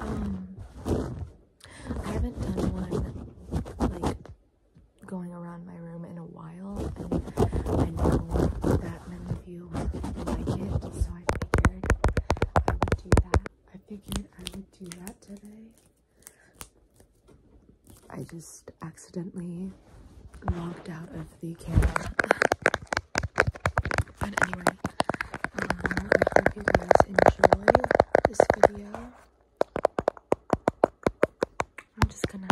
Um, I haven't done one like going around my room in a while, and I know that many of you like it, so I figured I would do that. I figured I would do that today. I just accidentally logged out of the camera. but anyway, um, I hope you guys enjoy this video. I'm just gonna,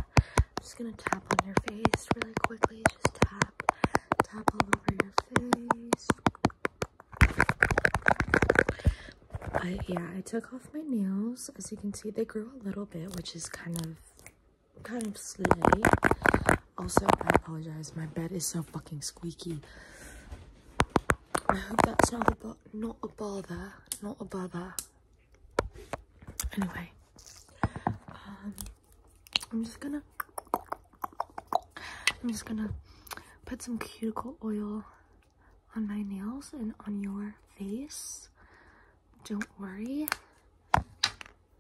just gonna tap on your face really quickly. Just tap, tap all over your face. I, yeah, I took off my nails. As you can see, they grew a little bit, which is kind of kind of sleepy. Also, I apologize. My bed is so fucking squeaky. I hope that's not a, not a bother. Not a bother. Anyway. Um, I'm just gonna... I'm just gonna put some cuticle oil on my nails and on your face. Don't worry.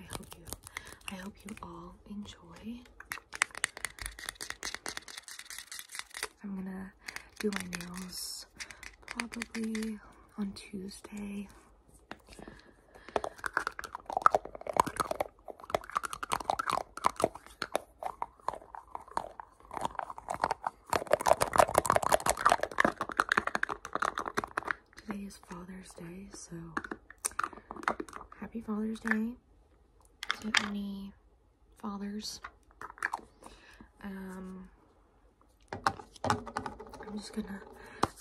I hope you I hope you all enjoy. I'm gonna do my nails probably on Tuesday. Today is Father's Day, so Happy Father's Day to any fathers. Um, I'm just gonna,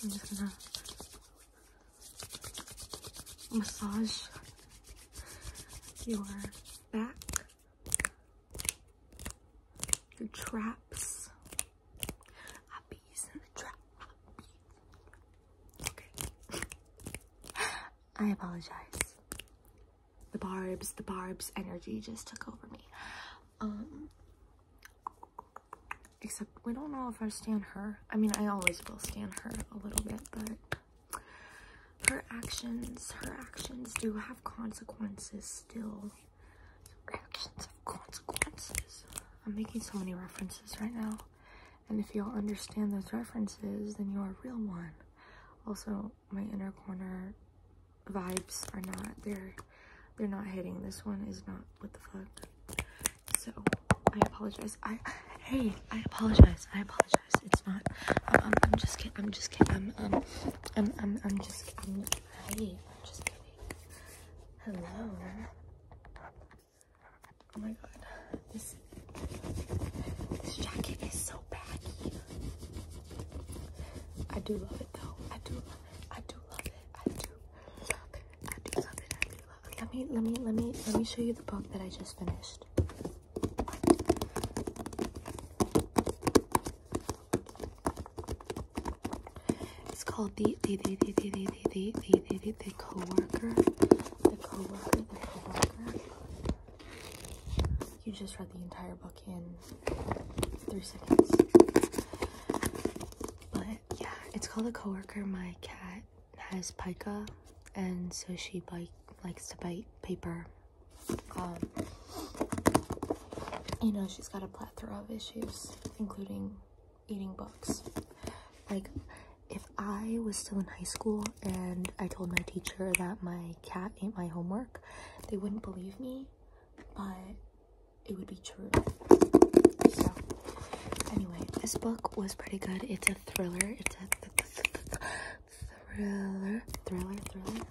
I'm just gonna massage your back, your traps, I be using the trap. Okay. I apologize. The barbs, the barbs energy just took over me. Um except we don't know if I stand her. I mean I always will stand her a little bit, but her actions, her actions do have consequences still actions have consequences. I'm making so many references right now. And if y'all understand those references, then you're a real one. Also, my inner corner vibes are not they're they're not hitting. This one is not what the fuck. So I apologize. I hey, I apologize. I apologize. It's not. I'm, just kidding. I'm just kidding. I'm um, I'm I'm, I'm just. i I'm just kidding. Hello. Oh my god, this, this jacket is so baggy. I do love it though. I do, I do love it. I do love it. I do love it. I do love it. Let me, let me, let me, let me show you the book that I just finished. It's called the the the the the the the the the the the coworker. The coworker. The coworker. You just read the entire book in three seconds. But yeah, it's called the coworker. My cat has pica, and so she bite likes to bite paper. Um, you know, she's got a plethora of issues, including eating books. Like, if I was still in high school and I told my teacher that my cat ate my homework, they wouldn't believe me, but it would be true. So, anyway, this book was pretty good. It's a thriller. It's a th thriller, thriller, thriller.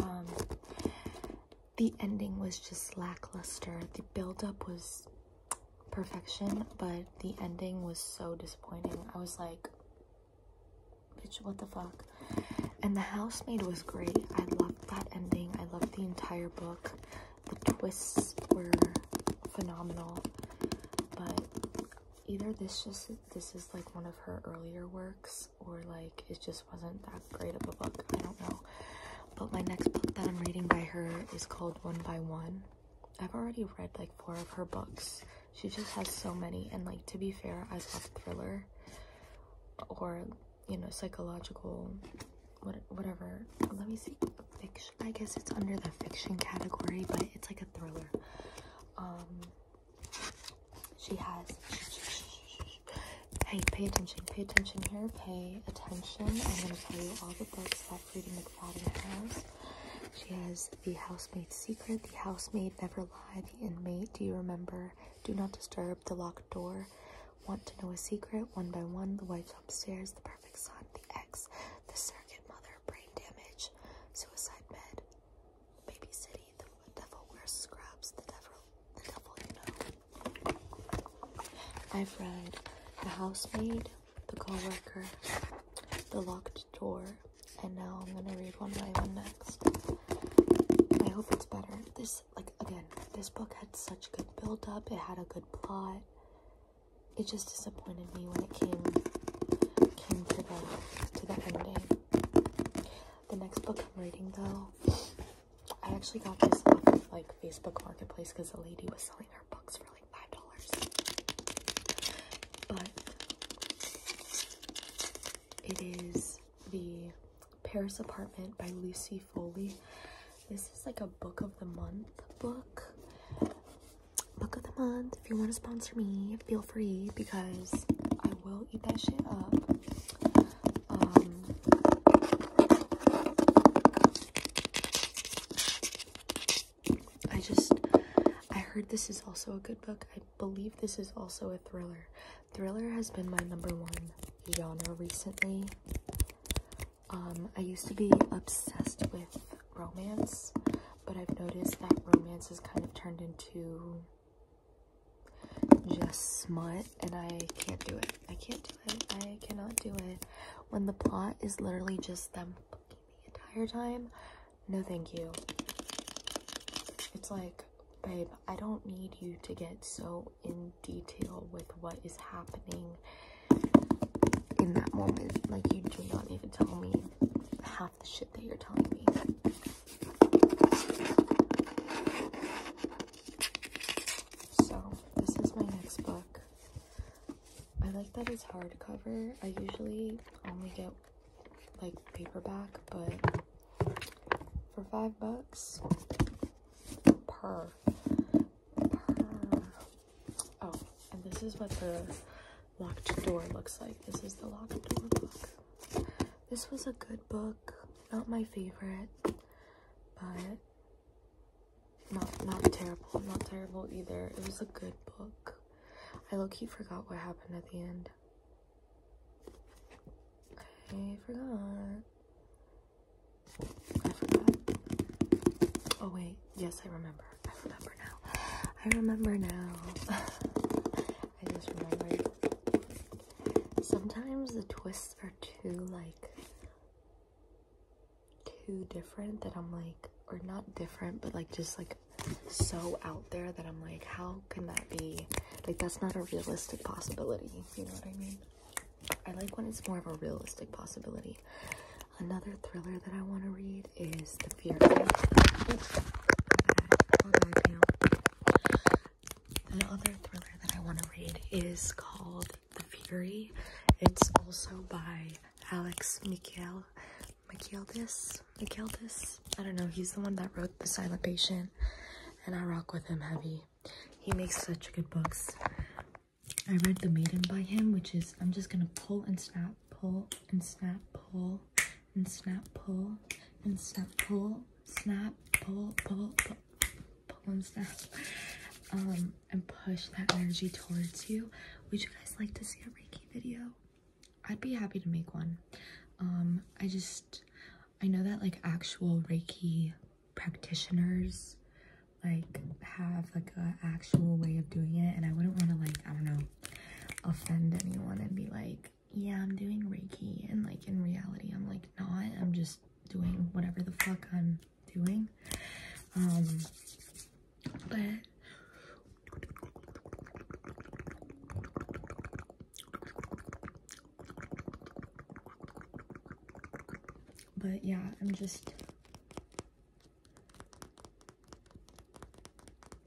Um, the ending was just lackluster. The build-up was perfection, but the ending was so disappointing. I was like, bitch, what the fuck? And The Housemaid was great. I loved that ending. I loved the entire book. The twists were phenomenal. But either this just this is like one of her earlier works or like it's just wasn't that great of a book. I don't know. But my next book that I'm reading by her is called One by One. I've already read like four of her books. She just has so many. And like, to be fair, I love thriller or, you know, psychological, what, whatever. Let me see. Fiction. I guess it's under the fiction category, but it's like a thriller. Um, she has Hey, pay attention, pay attention here, pay attention. I'm going to tell you all the books that Freddie McFadden has. She has The Housemaid's Secret, The Housemaid Never Lie, The Inmate, Do You Remember, Do Not Disturb, The Locked Door, Want to Know a Secret, One by One, The Wives Upstairs, The Perfect Son, The Ex, The Surrogate Mother, Brain Damage, Suicide bed. Baby City, The Devil Wears Scrubs, The Devil I've read The Housemaid, The Coworker, The Locked Door, and now I'm gonna read one by one next. I hope it's better. This, like, again, this book had such good build up, it had a good plot. It just disappointed me when it came came to the to the ending. The next book I'm reading though I actually got this off of like Facebook Marketplace because a lady was selling her books for like five dollars. But it is the Paris Apartment by Lucy Foley. This is like a book of the month book. Book of the month. If you want to sponsor me, feel free because I will eat that shit up. Um, I just, I heard this is also a good book. I believe this is also a thriller. Thriller has been my number one genre recently. Um, I used to be obsessed with romance, but I've noticed that romance has kind of turned into just smart, and I can't do it. I can't do it. I cannot do it. When the plot is literally just them the entire time, no thank you. It's like, babe, I don't need you to get so in detail with what is happening in that moment. Like, you do not even tell me half the shit that you're telling me. So this is my next book. I like that it's hardcover. I usually only get like paperback, but for five bucks per. per. Oh, and this is what the locked door looks like. This is the locked door book. This was a good book, not my favorite but not not terrible, not terrible either. It was a good book. I low-key forgot what happened at the end. I forgot. I forgot. Oh wait, yes, I remember. I remember now. I remember now. I just remembered. Sometimes the twists are too too like too different that I'm like or not different but like just like so out there that I'm like how can that be like that's not a realistic possibility you know what I mean I like when it's more of a realistic possibility another thriller that I want to read is The Fear the other thriller that I want to read is called The Fury. It's also by Alex Michael Michaeldis. Michaeldis? I don't know. He's the one that wrote The Silent Patient, and I rock with him heavy. He makes such good books. I read The Maiden by him, which is I'm just gonna pull and snap, pull and snap, pull and snap, pull and snap, pull snap, pull, pull, pull, pull and snap. Um, and push that energy towards you. Would you guys like to see a Reiki video? I'd be happy to make one. Um, I just, I know that like actual Reiki practitioners like have like a actual way of doing it and I wouldn't want to like, I don't know, offend anyone and be like, yeah, I'm doing Reiki, and like in reality, I'm like not. I'm just doing whatever the fuck I'm doing. Um, but but yeah, I'm just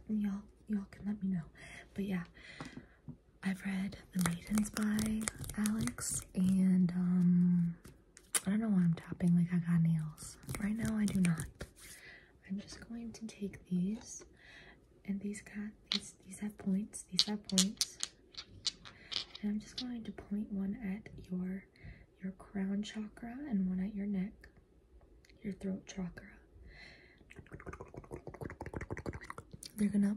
y'all y'all can let me know. But yeah, I've read The Maidens by Alex, and um, I don't know why I'm tapping like I got nails. Right now, I do not. I'm just going to take these, and these got these. These have points. These have points, and I'm just going to point one at your your crown chakra and one at your neck, your throat chakra. They're gonna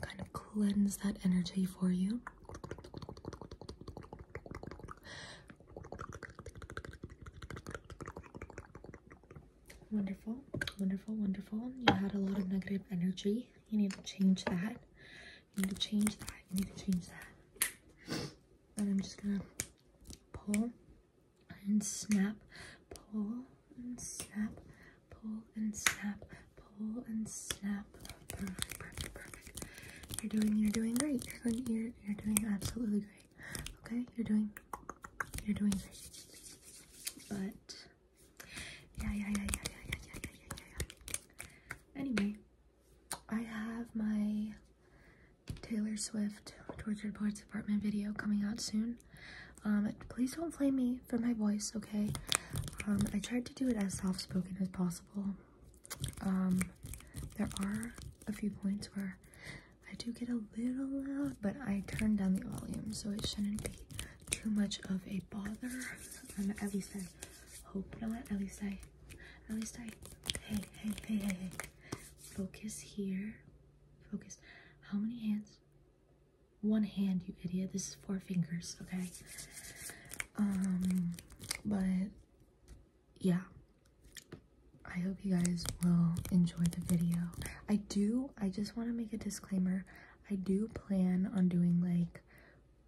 kind of cleanse that energy for you. Wonderful, wonderful, wonderful. You had a lot of negative energy. You need to change that. You need to change that. You need to change that. And I'm just gonna pull and snap, pull and snap, pull and snap, pull and snap. Perfect, perfect, perfect. You're doing, you're doing great. You're doing, you're, you're doing absolutely great. Okay, you're doing, you're doing great. But yeah, yeah, yeah, yeah, yeah, yeah, yeah, yeah, yeah, yeah. Anyway, I have my Taylor Swift Tortured Poets Apartment video coming out soon. Um, please don't blame me for my voice, okay? Um, I tried to do it as soft-spoken as possible. Um, there are a few points where I do get a little loud, but I turned down the volume, so it shouldn't be too much of a bother. at least I hope not. At least I, at least I, hey, hey, hey, hey, hey. Focus here. Focus. How many hands? One hand, you idiot. This is four fingers, okay? Um, but yeah. I hope you guys will enjoy the video. I do, I just want to make a disclaimer. I do plan on doing like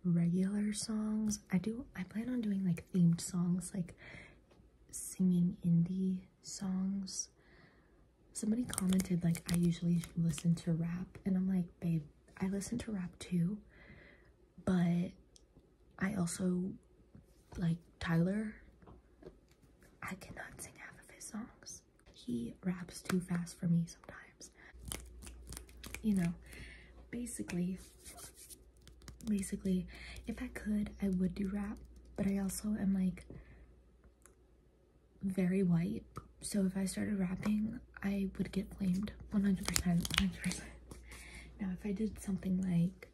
regular songs. I do, I plan on doing like themed songs, like singing indie songs somebody commented like i usually listen to rap and i'm like babe i listen to rap too but i also like tyler i cannot sing half of his songs he raps too fast for me sometimes you know basically basically if i could i would do rap but i also am like very white. So if I started rapping, I would get blamed 100%, 100%. Now, if I did something like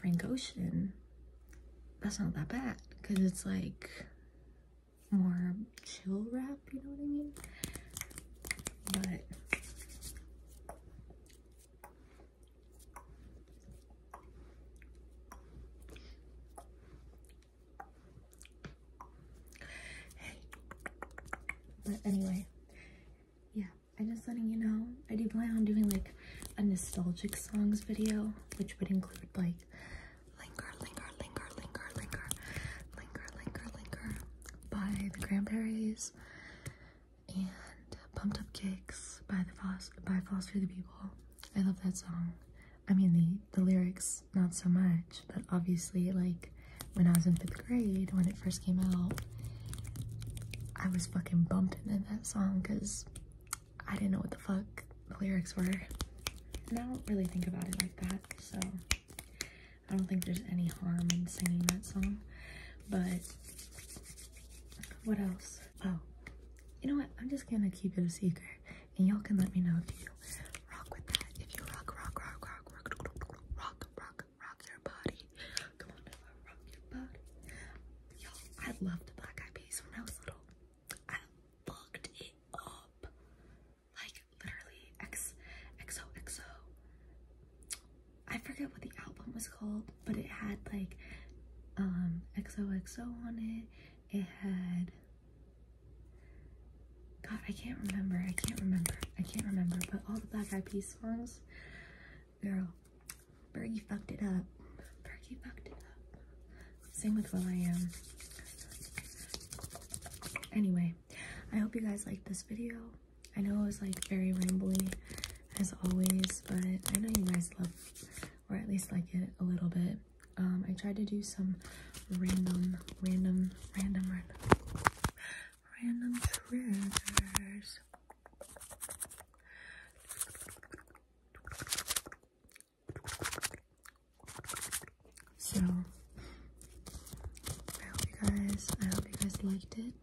Frank Ocean, that's not that bad because it's like more chill rap, you know what I mean? But Hey. But anyway, yeah, I'm just letting you know. I do plan on doing like a nostalgic songs video, which would include like Linger, Linger, Linger, Linger, Linger, Linger, Linger, Linger by the Cranberries and Pumped Up Kicks by the Foster, by Foster the People I love that song. I mean, the, the lyrics, not so much, but obviously, like, when I was in fifth grade, when it first came out, I was fucking bumping into that song because I didn't know what the fuck the lyrics were. And I don't really think about it like that, so I don't think there's any harm in singing that song. But what else? Oh, you know what? I'm just gonna keep it a secret, and y'all can let me know if you rock with that. If you rock, rock, rock, rock, rock, rock, rock, your body. Come on, now, rock your body. Y'all, I loved the black eyed peas when I was little. I fucked it up, like literally. X, forget what the album was called, but it had like um XOXO on it. It had God, I can't remember. I can't remember. I can't remember. But all the Black Eyed Peas songs, girl, Bergie fucked it up. Bergie fucked it up. Same with Will I Am. Anyway, I hope you guys liked this video. I know it was like very rambly as always, but I know you guys love or at least like it a little bit. Um, I tried to do some random, random, random, random, random triggers. So I hope you guys, I hope you guys liked it.